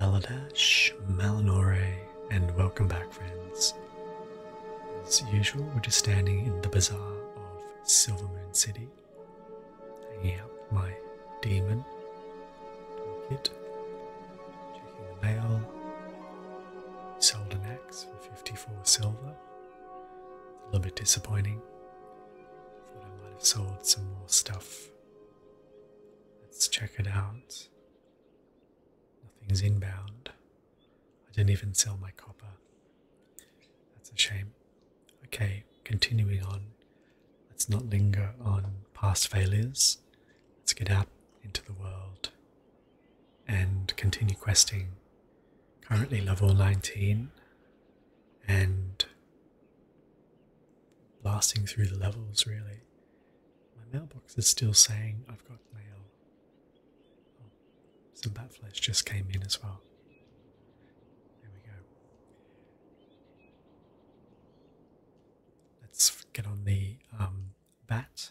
Maladash, Malinore, and welcome back, friends. As usual, we're just standing in the bazaar of Silvermoon City, hanging out with my demon kid, checking the mail. Sold an axe for 54 silver. A little bit disappointing. Thought I might have sold some more stuff Let's check it out. Nothing's inbound. I didn't even sell my copper. That's a shame. Okay, continuing on. Let's not linger on past failures. Let's get out into the world and continue questing. Currently level 19 and blasting through the levels, really. My mailbox is still saying I've got mail. Oh, some bat flesh just came in as well. There we go. Let's get on the um, bat.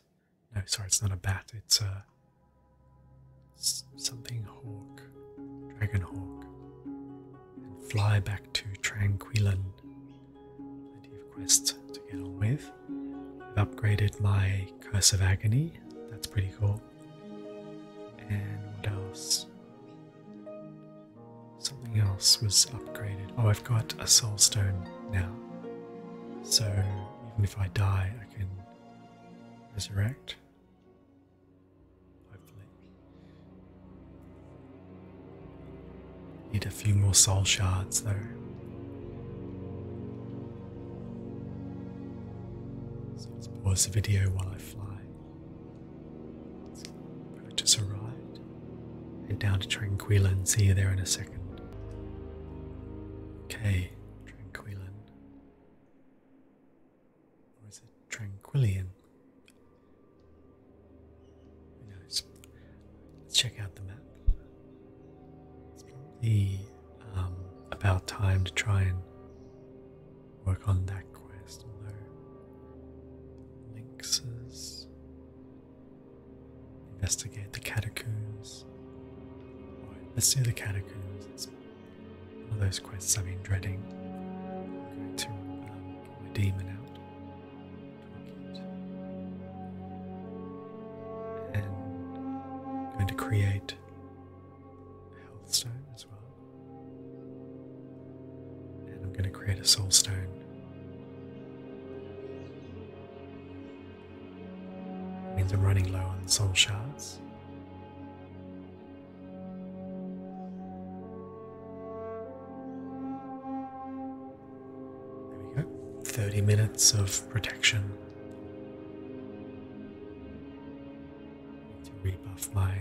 No, sorry, it's not a bat, it's a. Something hawk, dragon hawk and fly back to Tranquillan. Plenty of quests to get on with. I've upgraded my Curse of Agony, that's pretty cool. And what else? Something else was upgraded. Oh, I've got a Soul Stone now. So even if I die, I can resurrect. Hopefully. Need a few more soul shards though. So let's pause the video while I fly. I've just arrived. Head down to Tranquila and see you there in a second. Okay, Tranquilin. Where is it? Tranquillian. Nice. Let's check out the map. It's probably um, about time to try and work on that quest, although investigate the catacombs. let's do the catacombs. It's one of those quests I've been dreading. I'm going to um, get my demon out. And I'm going to create a as well. And I'm going to create a soul stone. means I'm running low on soul shards. 30 minutes of protection. To rebuff my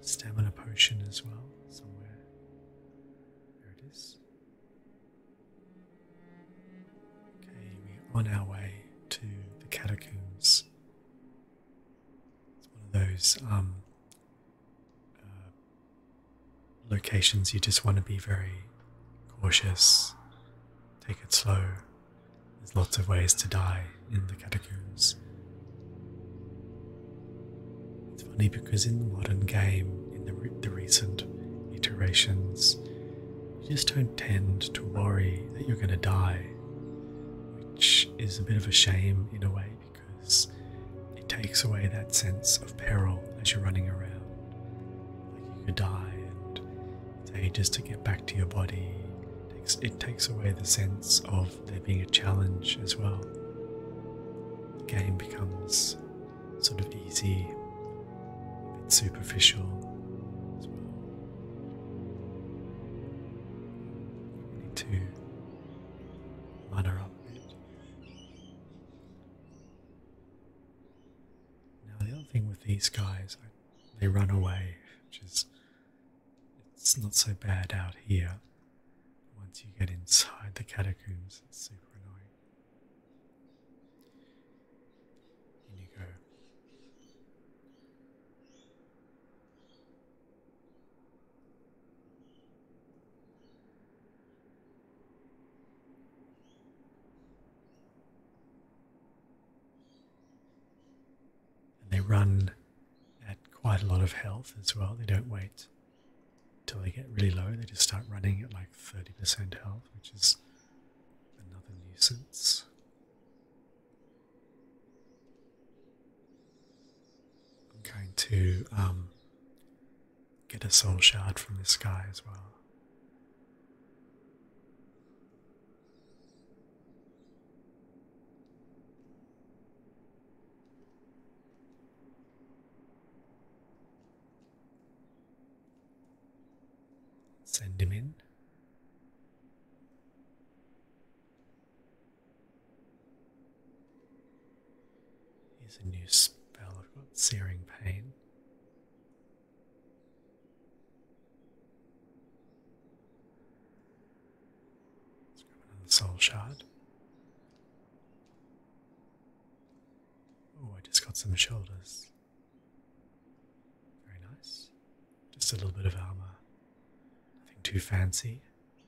stamina potion as well, somewhere. There it is. Okay, we're on our way to the catacombs. It's one of those um, uh, locations you just want to be very cautious, take it slow. There's lots of ways to die in the catacombs. It's funny because in the modern game, in the recent iterations, you just don't tend to worry that you're going to die, which is a bit of a shame in a way because it takes away that sense of peril as you're running around. Like you could die, and it's ages to get back to your body. It takes, away the sense of there being a challenge as well. The game becomes sort of easy, a superficial as well. to run around now the other thing with these guys, they run away, which is it's not so bad out here. Once you get inside the catacombs, it's super annoying. In and they run at quite a lot of health as well. They don't wait till they get really low. They just start running at like 30% health, which is another nuisance. I'm going to um, get a soul shard from the sky as well. Send him in. Here's a new spell I've got Searing Pain. Let's grab another soul shard. Oh, I just got some shoulders. Very nice. Just a little bit of armor. Nothing too fancy.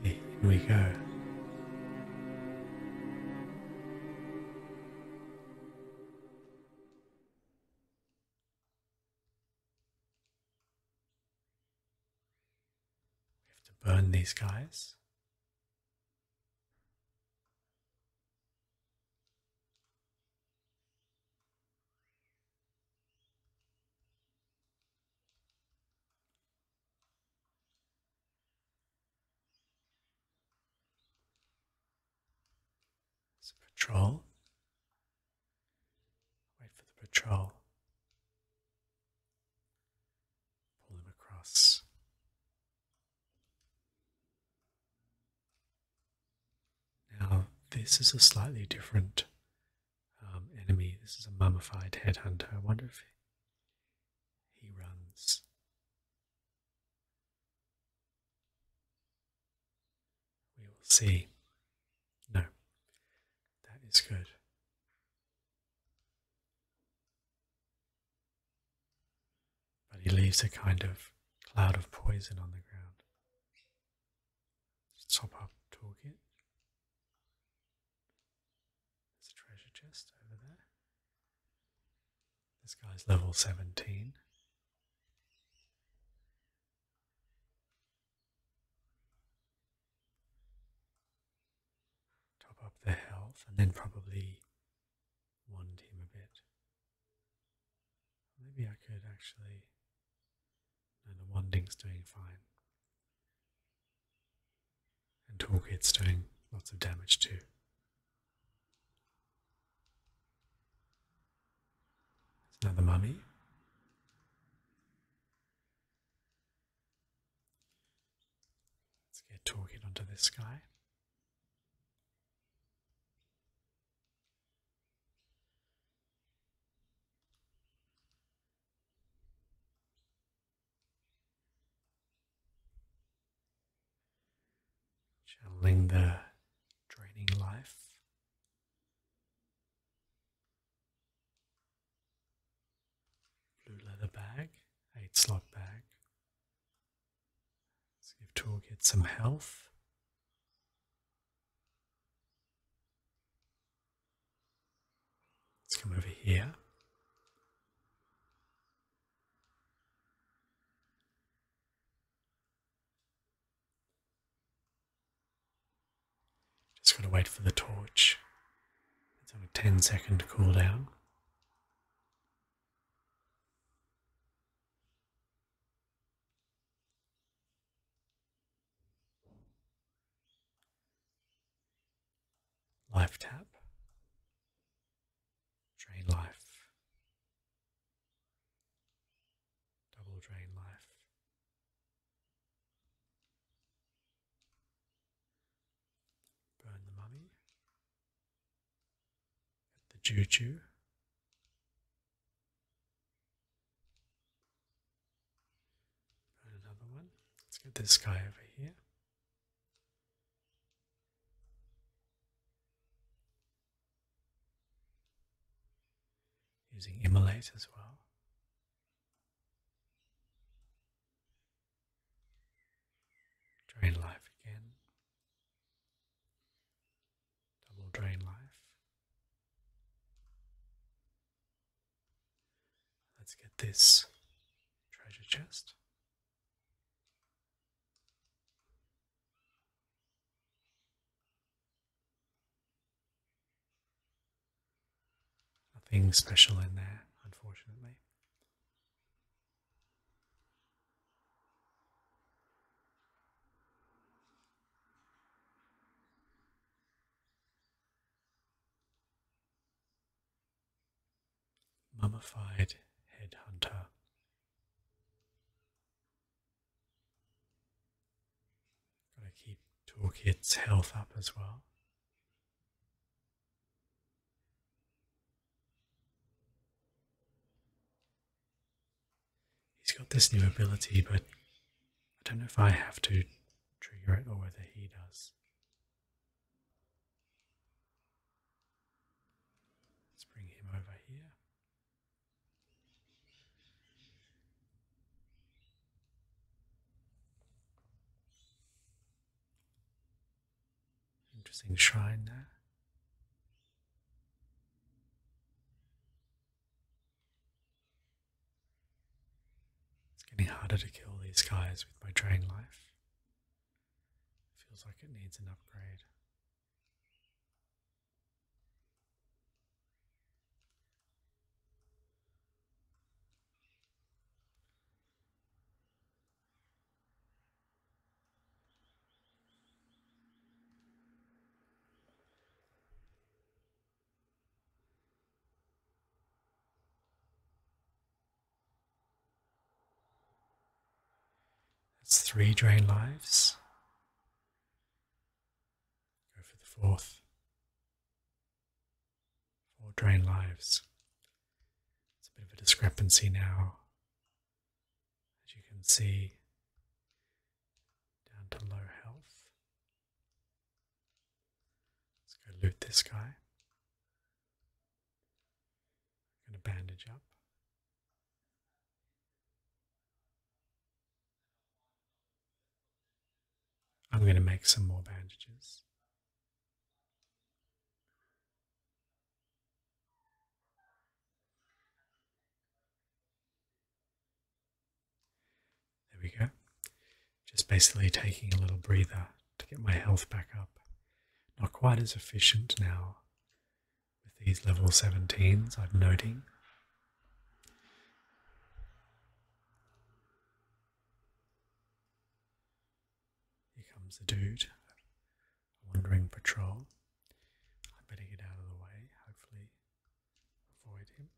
Okay, in we go. We have to burn these guys patrol. Wait for the patrol. Pull them across. Now, this is a slightly different um, enemy. This is a mummified headhunter. I wonder if he runs. We will see. No, that is good. But he leaves a kind of cloud of poison on the ground. Top up toolkit. There's a treasure chest over there. This guy's level 17. Top up their health and then probably wand him a bit. Maybe I could actually. the wanding's doing fine. And Torgate's doing lots of damage too. There's another mummy. Let's get Torgate onto this guy channeling the draining life. Blue leather bag, eight slot bag. Let's give Toolkit some health. Let's come over here. Just got to wait for the torch. It's only have a 10 second cool down. Life tap. Drain life. Double drain life. Burn the mummy. the juju. Burn another one. Let's get this guy over here. Using immolate as well. Drain life again. Double drain life. Let's get this treasure chest. Nothing special in there, unfortunately. Mummified Headhunter. Gotta keep Toolkit's health up as well. He's got this new ability, but I don't know if I have to trigger it or whether he does. Let's bring him over here. Interesting shrine there. It's getting harder to kill these guys with my drain life. Feels like it needs an upgrade. That's three drain lives. Go for the fourth. Four drain lives. It's a bit of a discrepancy now. As you can see, down to low health. Let's go loot this guy. I'm going to bandage up. I'm going to make some more bandages. There we go. Just basically taking a little breather to get my health back up. Not quite as efficient now with these level 17s, I'm noting. Here comes the dude, a wandering patrol. I better get out of the way, hopefully, avoid him.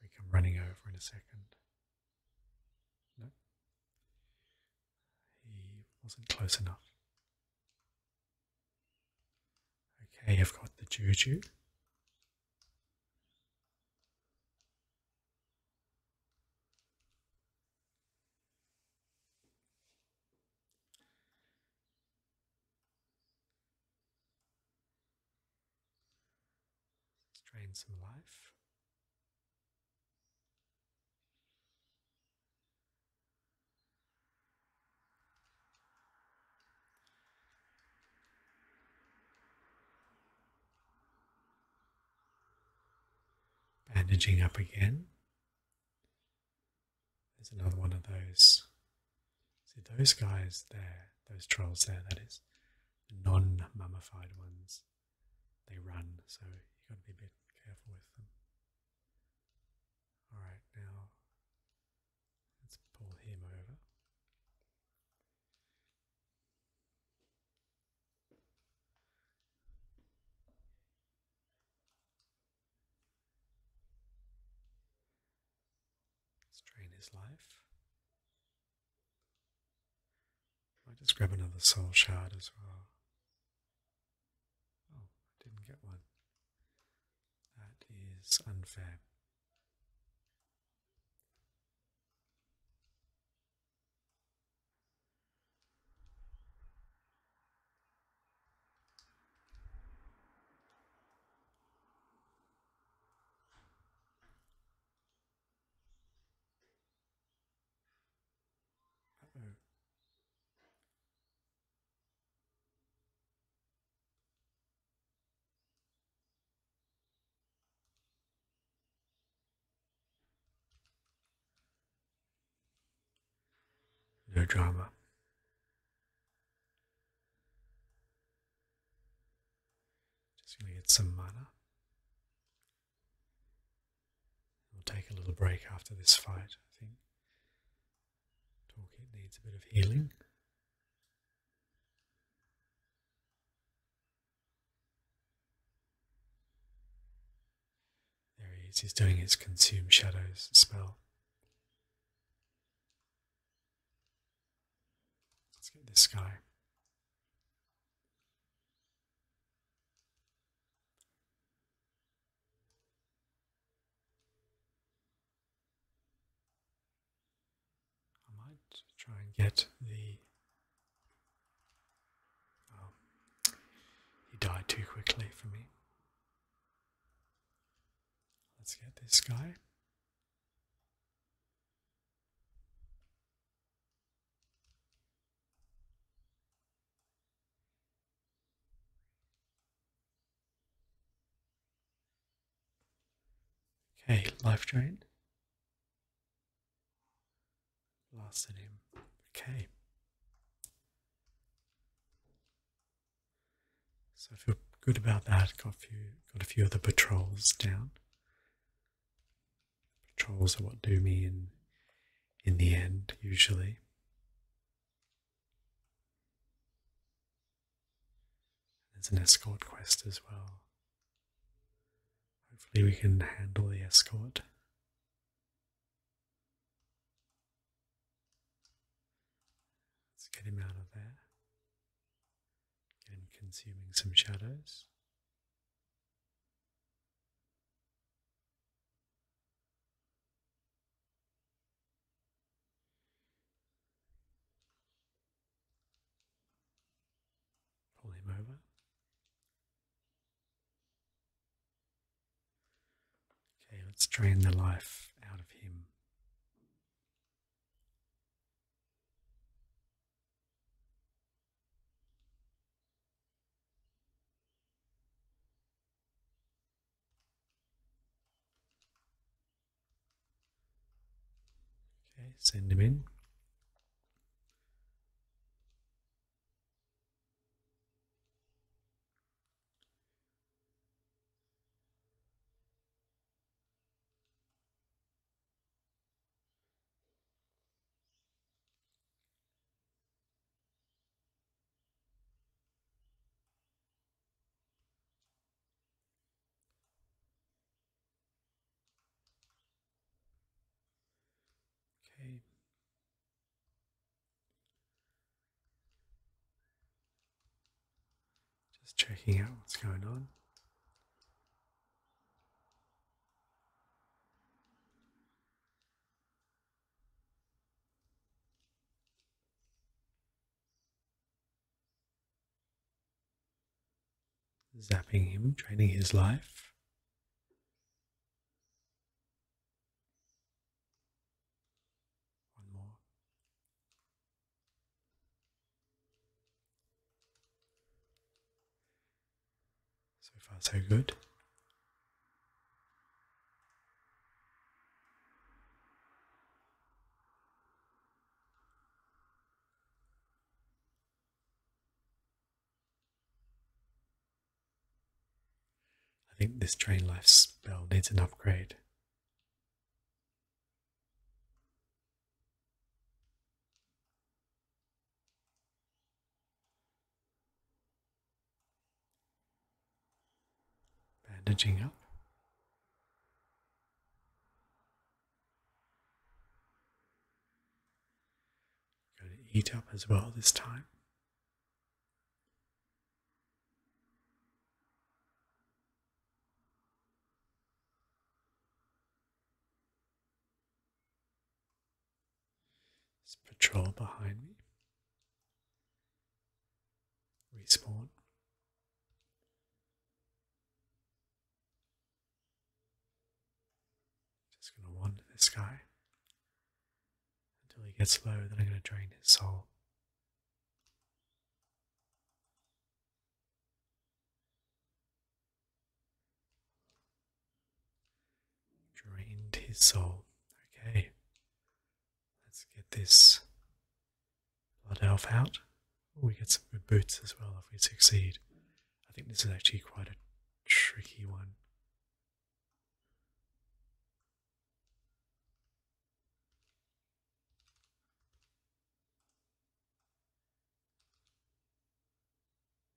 We come running over in a second. No? He wasn't close enough. Okay, I've got the juju. drain some life. Bandaging up again. There's another one of those. See those guys there, those trolls there, that is, non mummified ones they run, so you've got to be a bit careful with them. Alright, now let's pull him over. Strain his life. I just grab another soul shard as well. Oh, I didn't get one. That is unfair. Uh-oh. No drama. Just gonna get some mana. We'll take a little break after this fight, I think. Toolkit needs a bit of healing. There he is, he's doing his consume shadows spell. Let's get this guy. I might try and get the. Um, he died too quickly for me. Let's get this guy. Okay, life drain. Blasted him. Okay. So I feel good about that. Got a few, got a few of the patrols down. Trolls are what do me in in the end, usually. There's an escort quest as well. Hopefully we can handle the escort. Let's get him out of there. Get consuming some shadows. Pull him over. Okay, let's drain the life out of him. Okay, send them in. Okay. Just checking out what's going on zapping him, draining his life. One more. So far, so good. I think this train life spell needs an upgrade. Bandaging up. Going to eat up as well this time. There's patrol behind me. Respawn. Just gonna wander this guy until he gets low, then I'm gonna drain his soul drained his soul. Okay, let's get this blood elf out. we get some good boots as well if we succeed. I think this is actually quite a tricky one.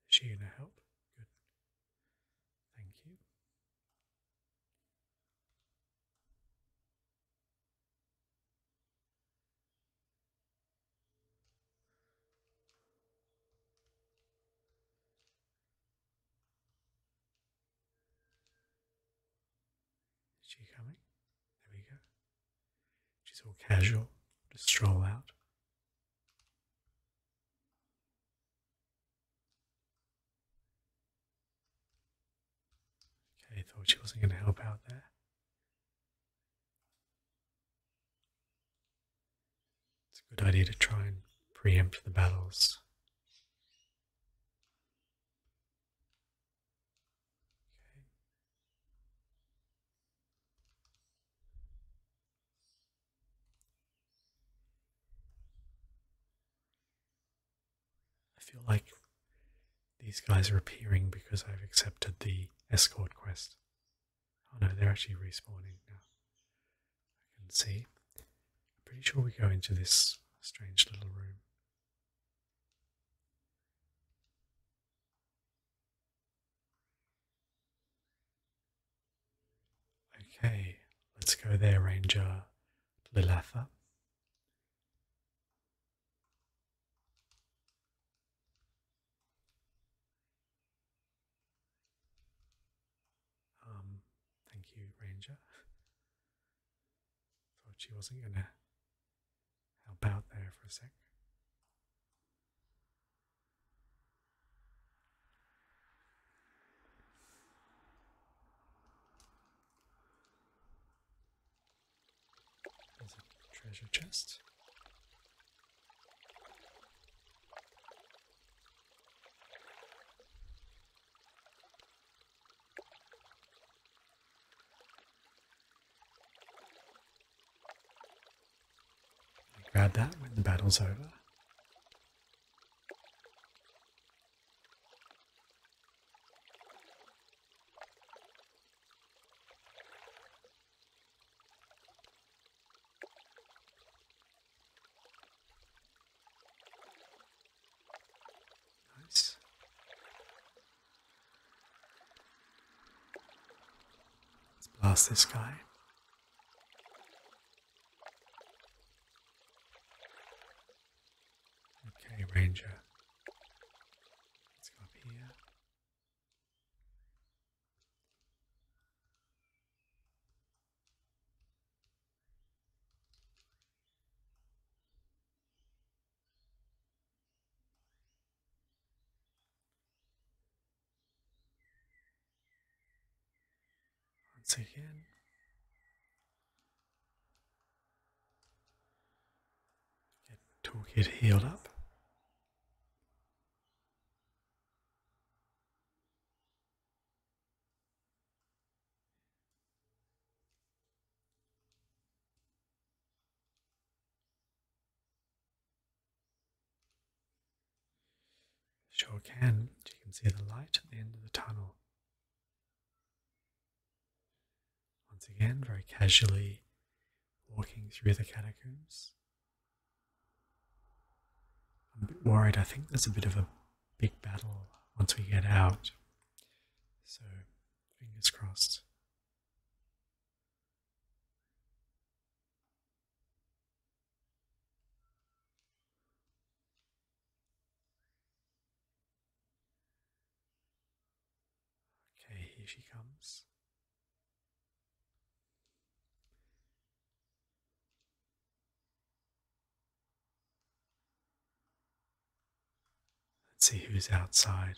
Is she gonna help? Good. Thank you. Is she coming? There we go. She's all casual, just stroll out. Okay, thought she wasn't going to help out there. It's a good idea to try and preempt the battles. Okay. I feel like these guys are appearing because I've accepted the escort quest. Oh no, they're actually respawning now. I can see. pretty sure we go into this strange little room. Okay, let's go there, Ranger Lilatha. Um, thank you, Ranger. Thought she wasn't gonna help out there for a sec. There's a treasure chest. Grab that when the battle's over. Nice. Let's blast this guy. Okay, Ranger. Let's go up here once again. Get toolkit healed up. Sure can. You can see the light at the end of the tunnel. Once again, very casually walking through the catacombs. I'm a bit worried. I think there's a bit of a big battle once we get out. So, fingers crossed. Okay, here she comes. Let's see who's outside.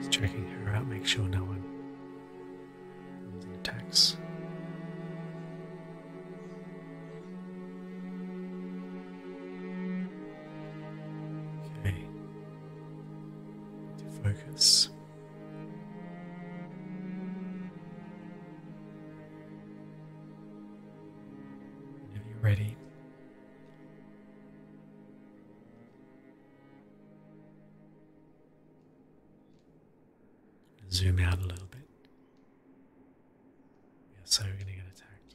Just checking her out, make sure no one comes and attacks. Okay. focus. Whenever you ready. Zoom out a little bit. so we're gonna get attacked.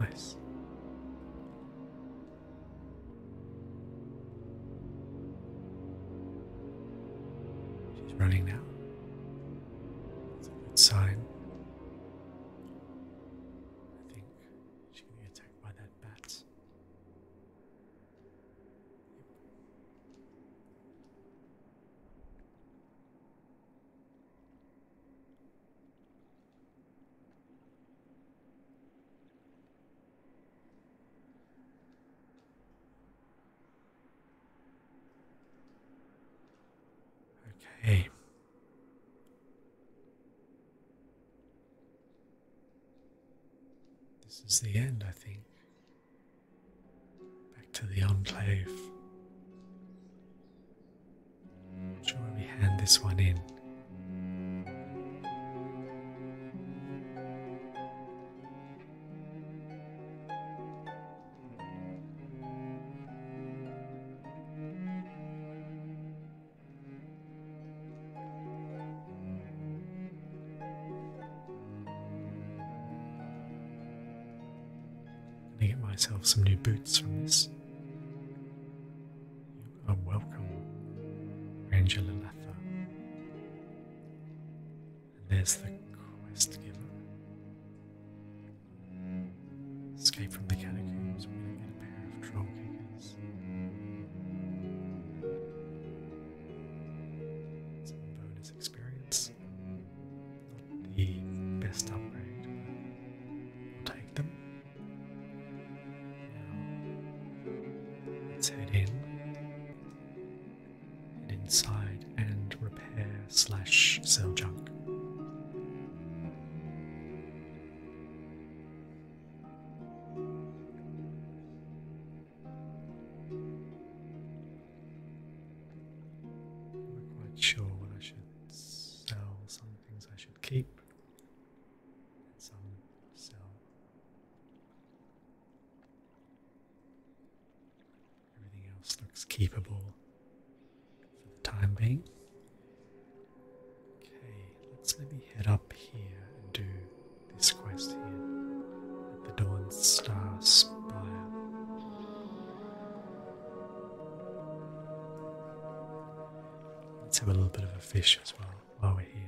Nice. She's running now. That's a good sign. I think she can be attacked by that bat. Okay. This is the end, I think. Back to the enclave. sure we hand this one in i get myself some new boots from this. You are welcome, Ranger Lilitha. there's the quest giver. Escape from the catacombs. we get a pair of troll kickers. Some bonus experience the best upgrade. take them. let's head in and inside and repair slash sell junk. I'm not quite sure what I should sell, some things I should keep, and some sell. Everything else looks keepable for the time being. Okay, let's maybe head up here and do this quest here the dawn star spire. Let's have a little bit of a fish as well while we're here.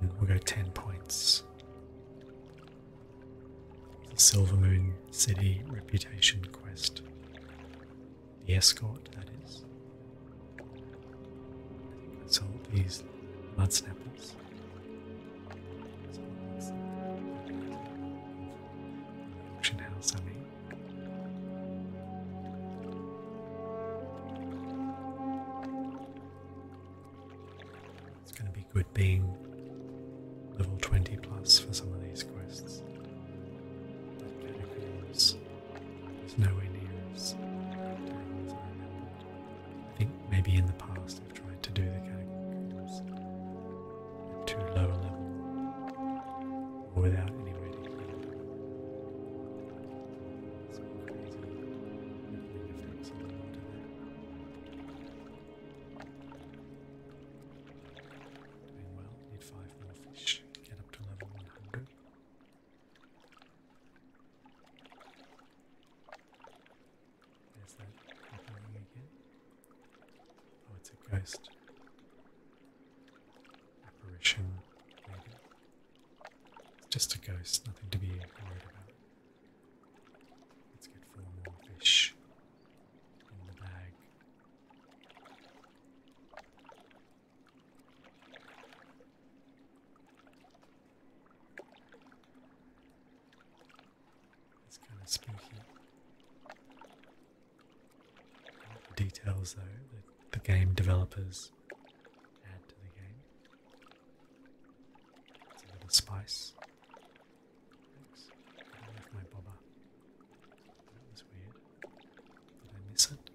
Ten, we'll go ten points the Silver Moon City Reputation Quest. The escort, that is. It's all these mud snappers. Auction house, I mean. It's going to be good being level 20 plus for some of these quests. That nowhere near as I think maybe in the past they have tried to do the catacombs at too low level without any way Doing well. Need five more fish. Get up to level 100. Is that happening again? Oh, it's a ghost. Apparition, maybe. It's just a ghost, nothing to be worried about. Let's get four more fish in the bag. It's kind of spooky. The details though that the game developers add to the game. It's a little spice. Thanks. I left my bobber. That was weird. Did I miss it?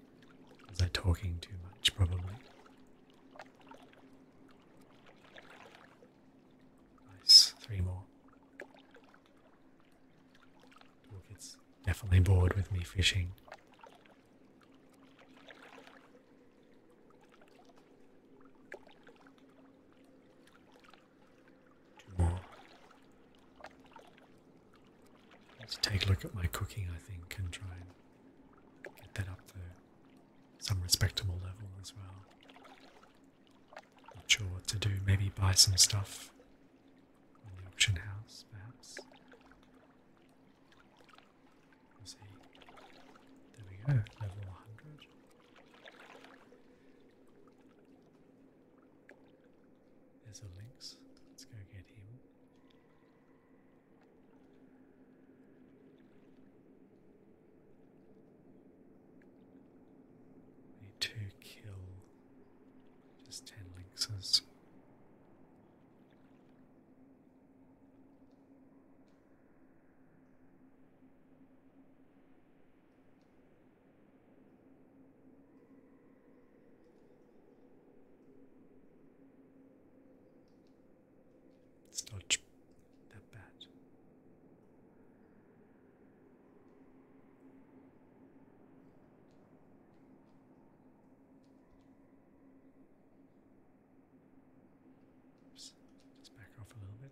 Was I talking too much? Probably. Nice. Three more. Toolkit's definitely bored with me fishing. Let's take a look at my cooking, I think, and try and get that up to some respectable level as well. Not sure what to do. Maybe buy some stuff on the auction house, perhaps. see. There we go, level 100. There's a lynx. Let's go get him. We need to kill just ten lynxes. It's not that bad. Oops. Just back off a little bit.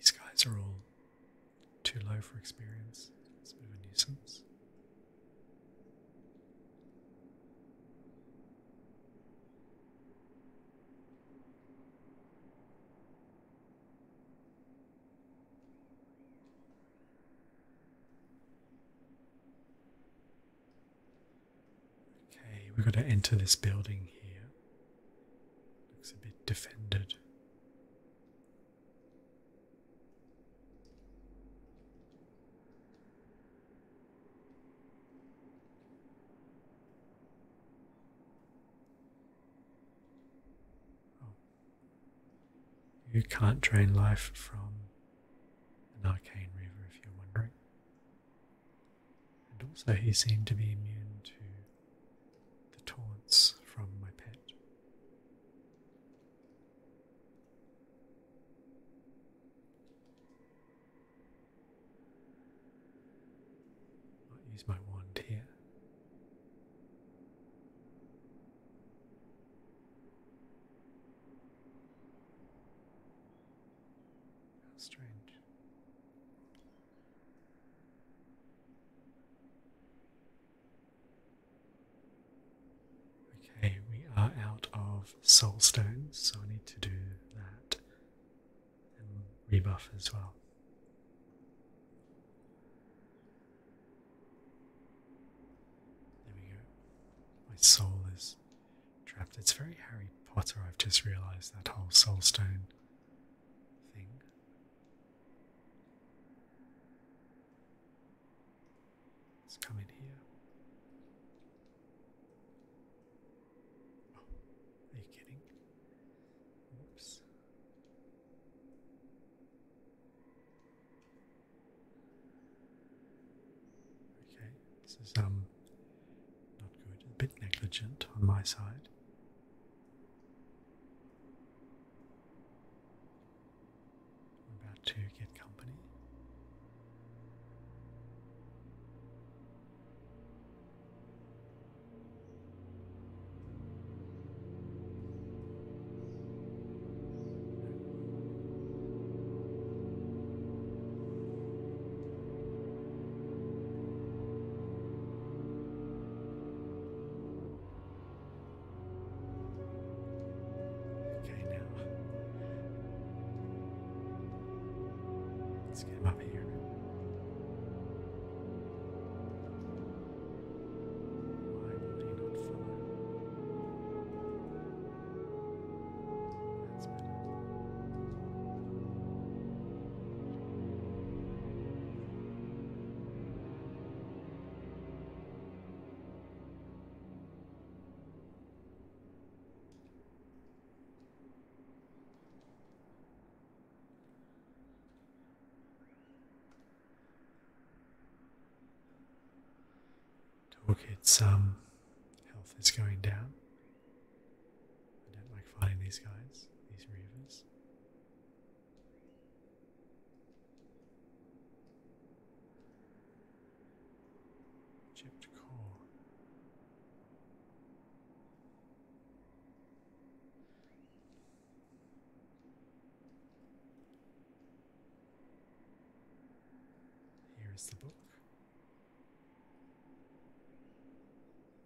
These guys are all too low for experience. It's a bit of a nuisance. Okay, we've got to enter this building here. Looks a bit defended. Oh, you can't drain life from an arcane river if you're wondering. And also, he seemed to be immune to the taunts from my pet. I'll use my wand here. strange. Okay, we are out of soul so I need to do that and rebuff as well. There we go. My soul is trapped. It's very Harry Potter, I've just realized that whole soul stone thing. Let's here. Oh, are you kidding? Okay, this is um not good, a bit negligent on my side. about to get company. Let's get him up here. Why would he not follow? That's better. Toolkit's um, health is going down. I don't like fighting these guys, these reavers. Chipped core. Here's the book.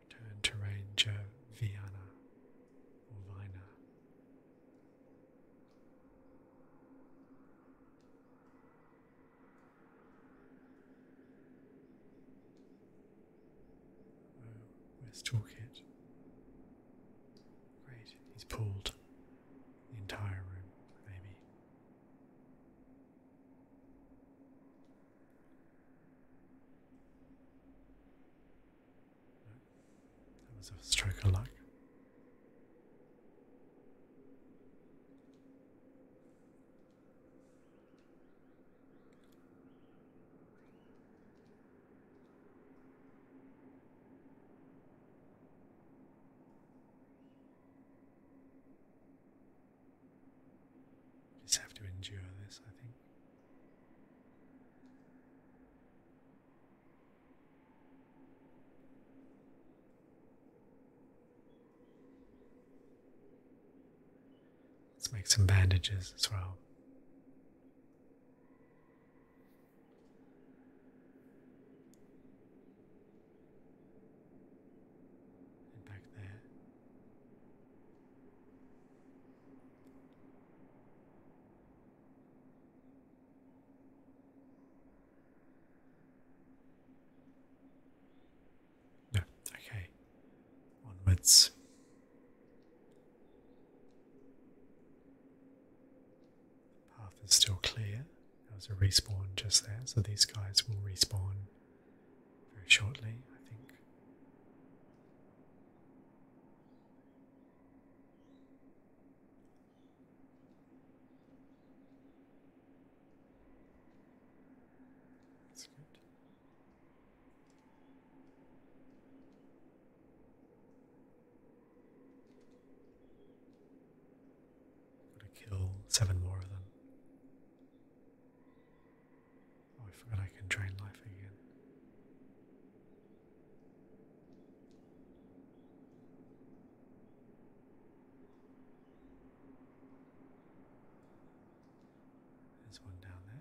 Return to Ranger Viana or Vina. Oh, where's Toolkit? Great. He's pulled the entire room, maybe. That was a stroke of luck. Just have to endure this, I think. Let's make some bandages as well. And back there. No, okay. Onwards path is still clear. There was a respawn just there, so these guys will respawn very shortly, I think. That's good. Gotta kill seven more of them. Oh, I forgot I can drain life again. There's one down there.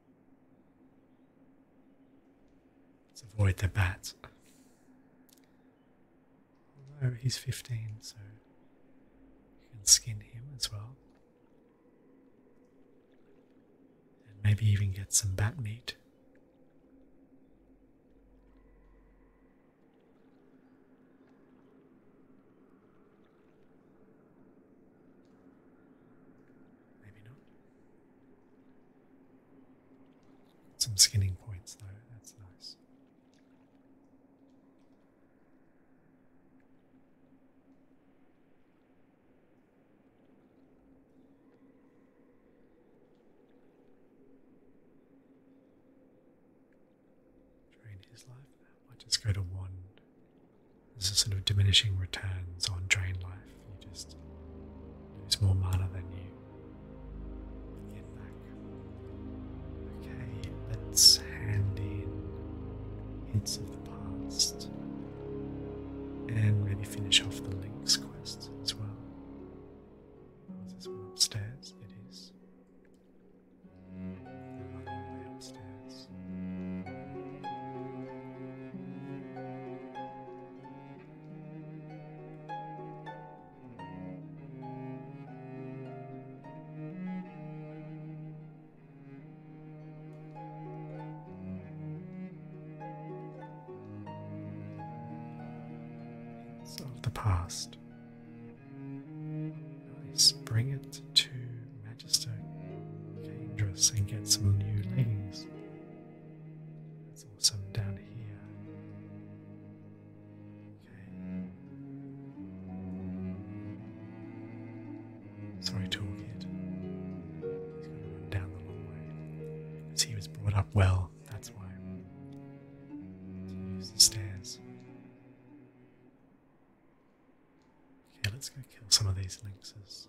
Let's avoid the bat. Although he's 15, so you can skin him as well. And maybe even get some bat meat. Maybe not. Some skinning points though, that's nice. Drain his life now. I just go to one. This is sort of diminishing returns on drain life. You just lose more mana than you Okay, let's hand in hints of the past and maybe finish off the links quest as well. Is this one upstairs? It is. Way upstairs. Some of the past. Nice. Bring it to Magister Dangerous and get some new leggings. There's also some down here. Okay. Sorry, Toolkit. He's going to run down the long way. he was brought up well, that's why. To use the stairs. Okay, let's go kill some of these lynxes.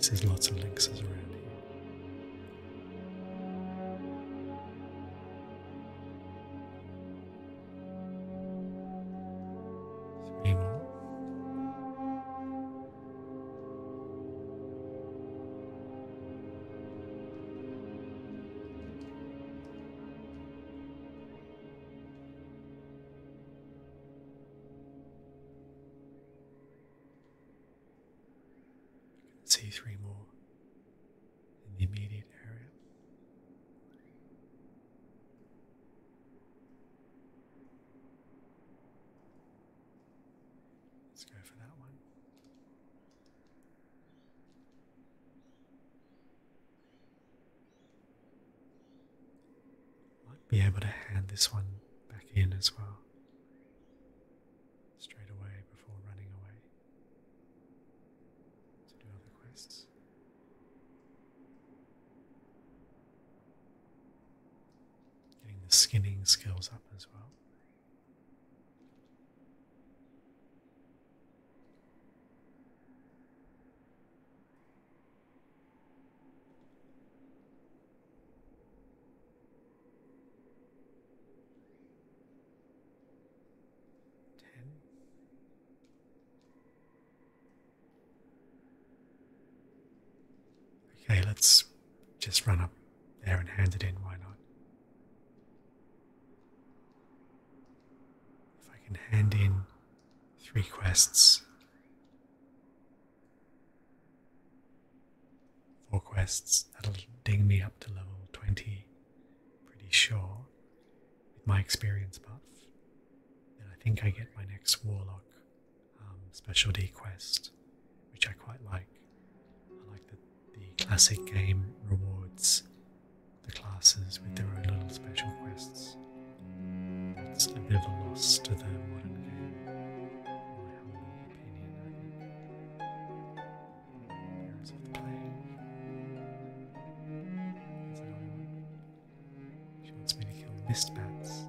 There's lots of lynxes around here. Three see three more in the immediate area. Let's go for that one. Might be able to hand this one back in as well. Straight away before running away to do other quests. Getting the skinning skills up as well. Ten. Okay, let's just run up there and hand it in, why not? If I can hand in three quests, four quests, that'll ding me up to level 20, pretty sure, with my experience buff. and I think I get my next warlock um, specialty quest, which I quite like. I like the classic game rewards the classes with their own little special quests. That's a bit of a loss to the modern game, my humble opinion. Parents of the play. That's She wants me to kill mist bats.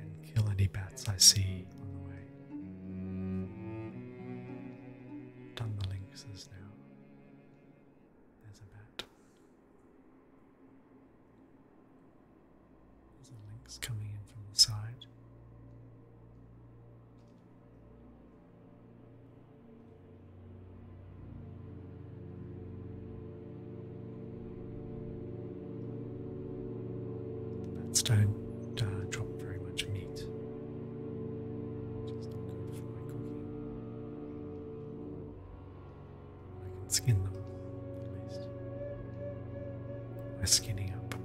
and kill any bats I see on the way. Done the lynxes now. There's a bat. There's a lynx coming in from the side. Bats don't drop very much meat, which is for my cooking. I can skin them, I'm skinning up to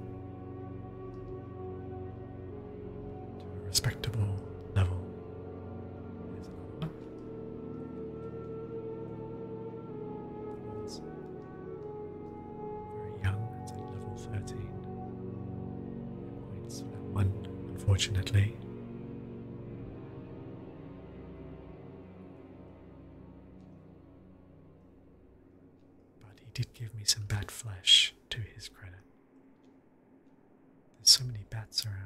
a respectable level very young, level 13. Points one, unfortunately. But he did give me some bat flesh to his credit. There's so many bats around.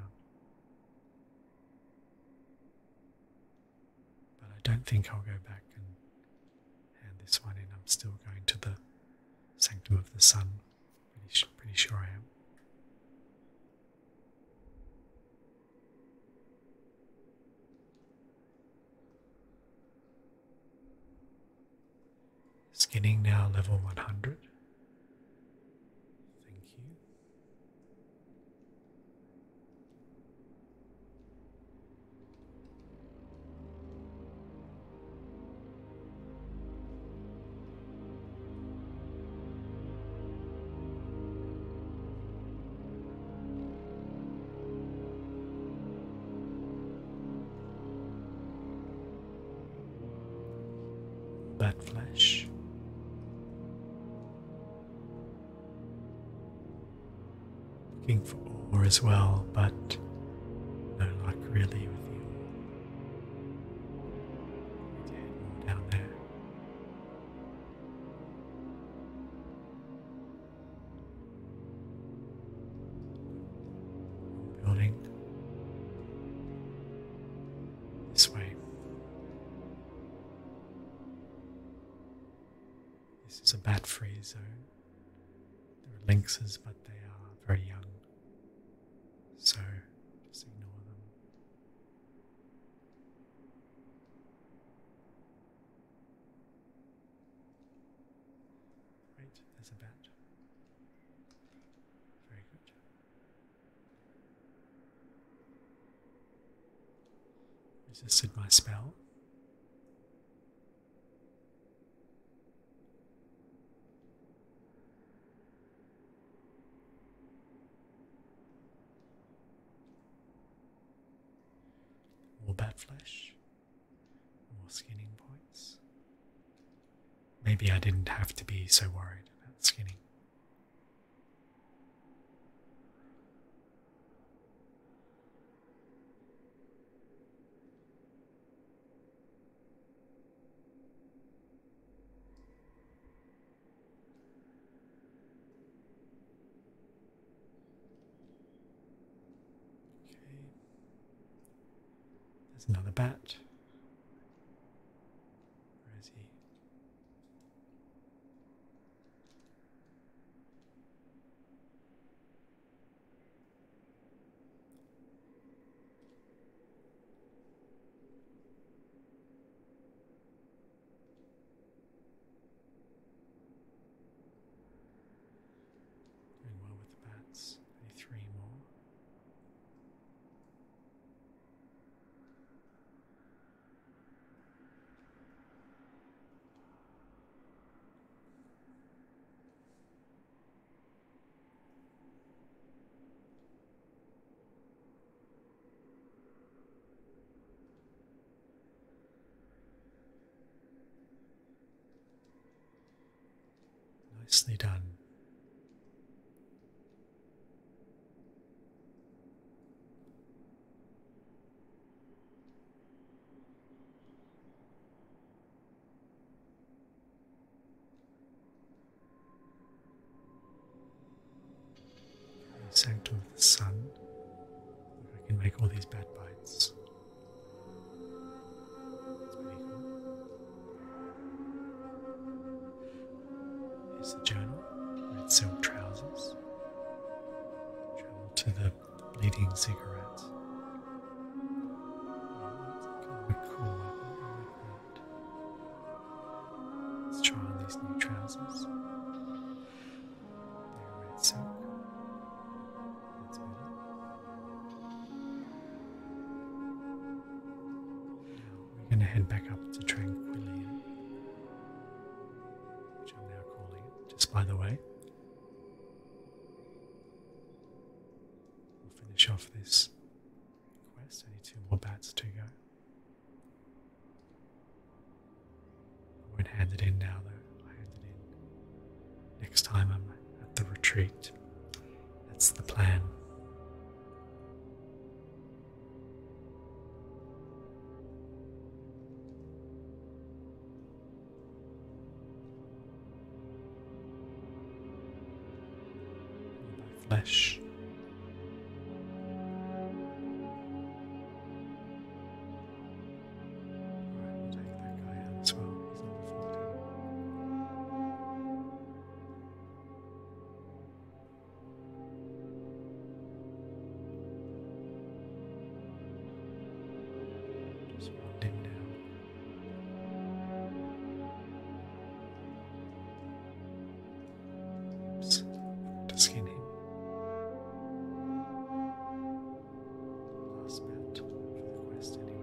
But I don't think I'll go back and hand this one in. I'm still going to the Sanctum of the Sun. Pretty, pretty sure I am. Skinning now level 100. Thank you. Bad flesh. Looking for ore as well, but no luck really with you down there. Building this way. This is a bat free zone. There are lynxes, but they are very young, so just ignore them. Right, there's a bat. Very good. Resisted my spell. More bad flesh. More skinning points. Maybe I didn't have to be so worried about skinning. Okay. There's another bat. Where is he? Doing well with the bats. Any three more. Nicely done. Sanctum of the sun. I can make all these bad bites. Cool. Here's the journal red silk trousers, travel to the leading cigarettes. Kind of a cool Let's try on these new trousers. They're red silk. Now we're going to head back up to Tranquillium, which I'm now calling just by the way. We'll finish off this quest. Only two more bats to go. I won't hand it in now, though. I hand it in next time I'm at the retreat. That's the plan flesh. Right, we'll take that guy out as well. He's number 40. Just dim down. Oops. Skin him. Last match for the quest, anyway.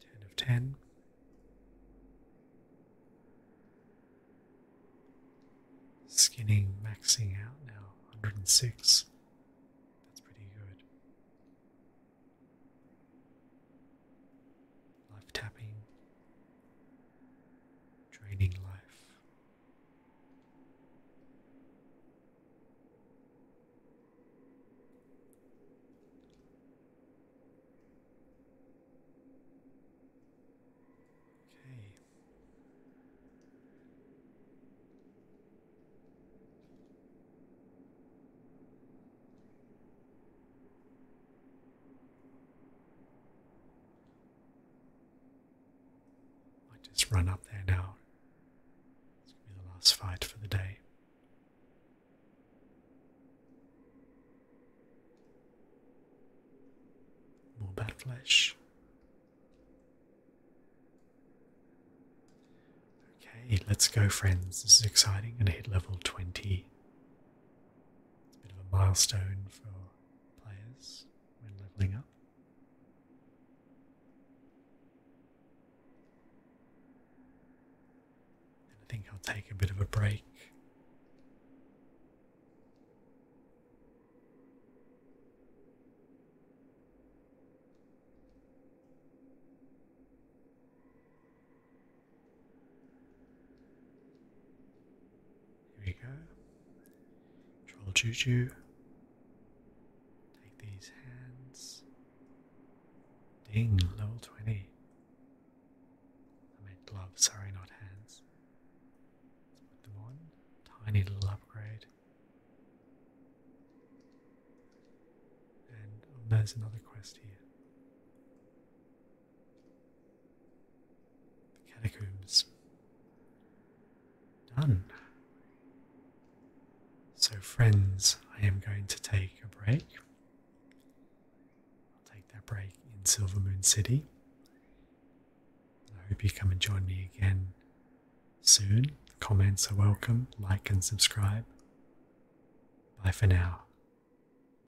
Ten of ten. Skinning maxing out now, 106. That's pretty good. Life tapping, draining life. Okay. I just run up there now. It's going to be the last fight for the day. More bat flesh. Okay, let's go, friends. This is exciting. i going to hit level 20. It's a bit of a milestone for players when leveling up. I think I'll take a bit of a break. Here we go. Troll Juju. Take these hands. Ding, level 20. I meant gloves, sorry, not hands. Let's put them on. Tiny little upgrade. And oh, there's another quest here. The catacombs. Done. So, friends, I am going to take a break. I'll take that break in Silver Moon City. I hope you come and join me again soon. Comments are welcome, like and subscribe. Bye for now.